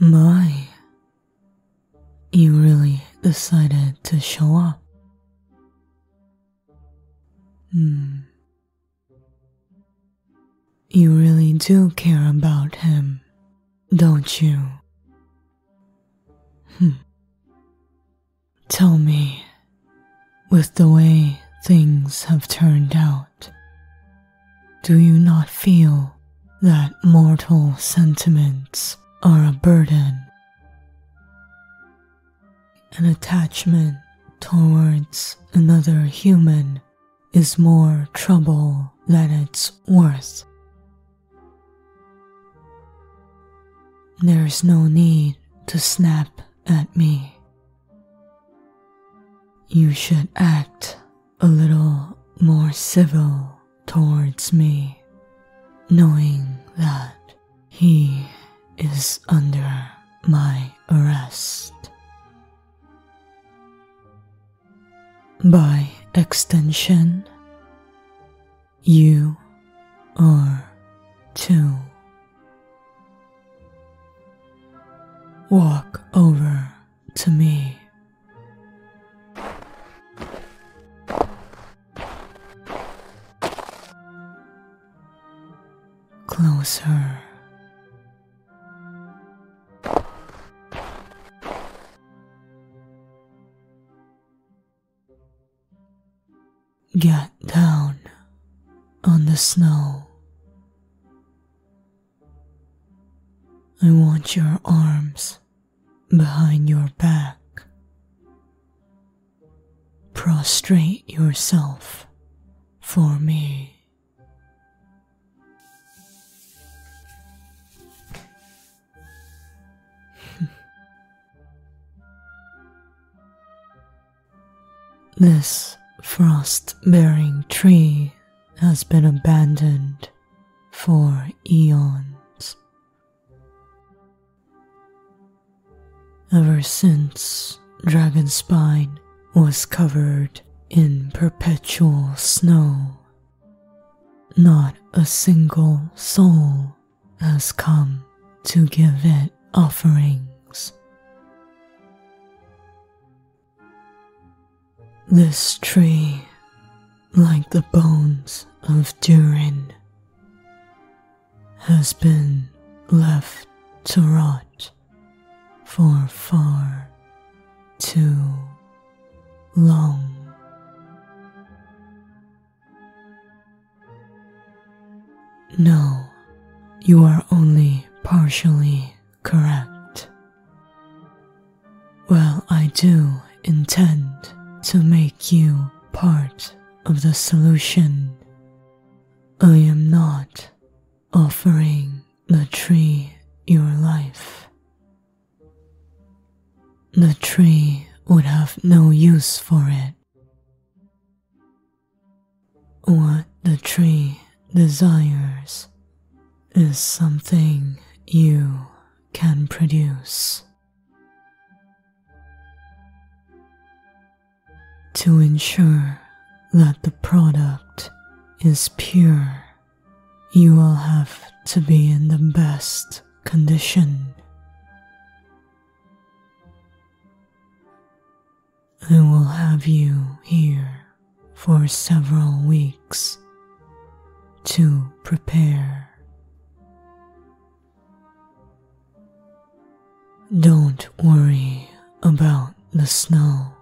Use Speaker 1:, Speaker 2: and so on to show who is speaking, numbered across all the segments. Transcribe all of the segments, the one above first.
Speaker 1: My. You really decided to show up. Hmm. You really do care about him, don't you? Hmm. Tell me, with the way things have turned out, do you not feel that mortal sentiments are a burden? An attachment towards another human is more trouble than it's worth. There is no need to snap at me. You should act a little more civil towards me, knowing that he is under my arrest. By extension, you are too. Walk over to me Closer. Get down on the snow. I want your arms behind your back. Prostrate yourself for me. this frost bearing tree has been abandoned for eons. Ever since Dragonspine was covered in perpetual snow, not a single soul has come to give it offerings. This tree, like the bones of Durin, has been left to rot for far too long. No, you are only partially correct? Well, I do intend to make you part of the solution. I am not offering the tree your life. The tree would have no use for it. What the tree desires is something you can produce. To ensure that the product is pure, you will have to be in the best condition. I will have you here for several weeks to prepare. Don't worry about the snow.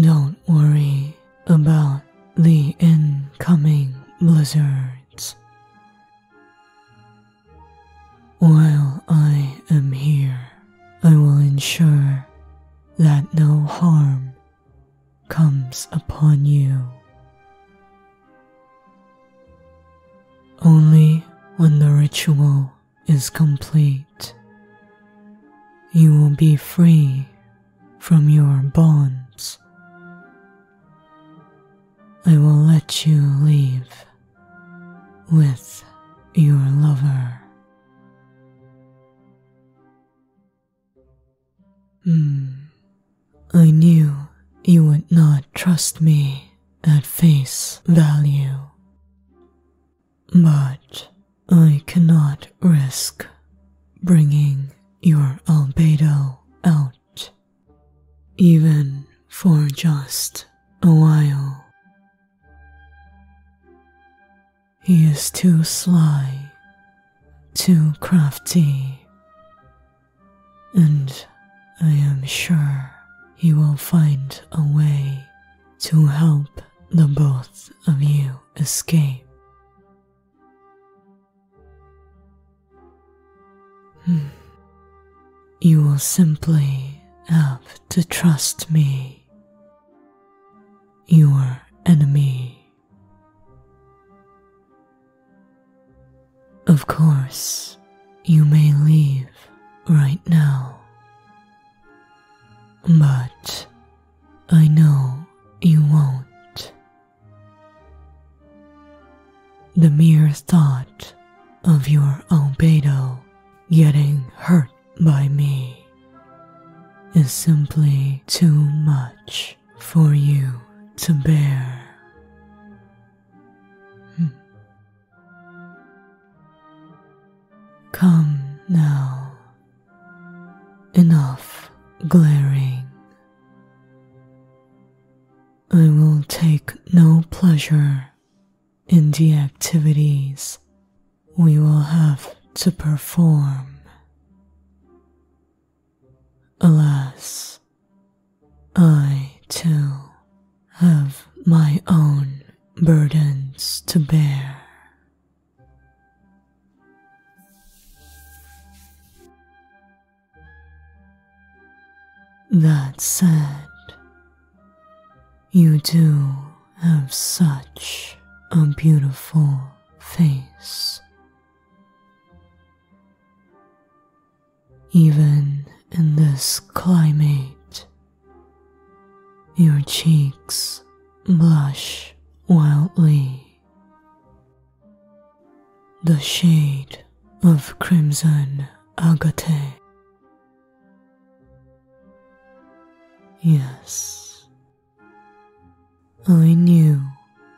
Speaker 1: Don't worry about the incoming blizzards. While I am here, I will ensure that no harm comes upon you. Only when the ritual is complete, you will be free from your bonds. I will let you leave with your lover. Hmm. I knew you would not trust me at face value, but I cannot risk bringing your albedo out, even for just a while. He is too sly, too crafty, and I am sure he will find a way to help the both of you escape. Hmm. You will simply have to trust me, your enemy. Of course, you may leave right now, but I know you won't. The mere thought of your albedo Getting hurt by me is simply too much for you to bear. Hmm. Come now, enough glaring. I will take no pleasure in the activities we will have to perform. Alas, I too have my own burdens to bear. That said, you do have such a beautiful face. Even in this climate, your cheeks blush wildly. The shade of crimson agate Yes, I knew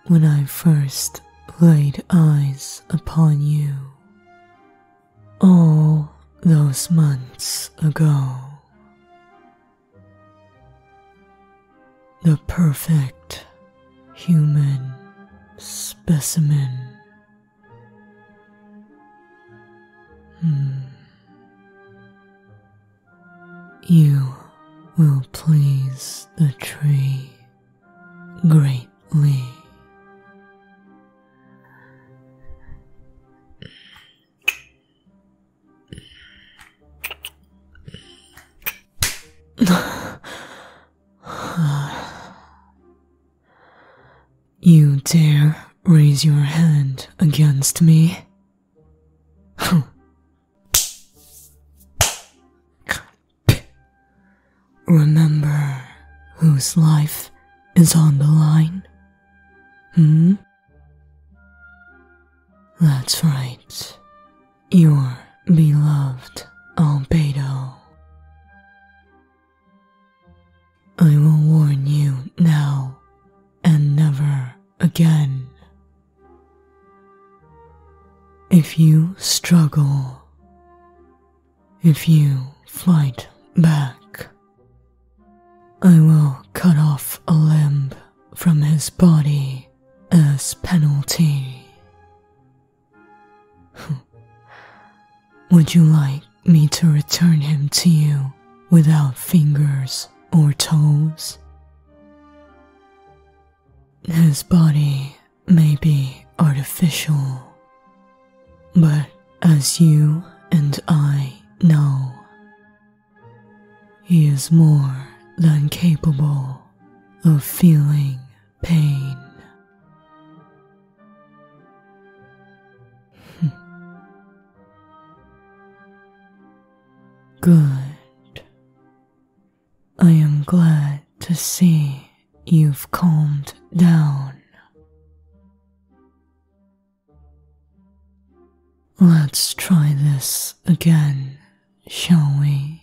Speaker 1: when I first laid eyes upon you all those months ago. The perfect human specimen Hmm. You will please the tree greatly. You dare raise your hand against me? Remember whose life is on the line? Hmm? That's right. Your beloved Albedo. I will warn you now and never again. If you struggle, if you fight back, I will cut off a limb from his body as penalty. Would you like me to return him to you without fingers or toes? His body may be artificial, but as you and I know, he is more than capable of feeling pain. Hmm. Good. I am glad to see you've calmed down. Let's try this again, shall we?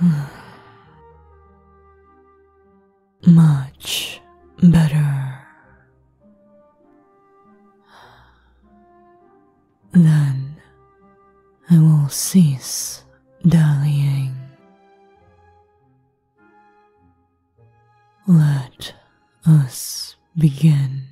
Speaker 1: Much better. Then I will cease dallying. Let us begin.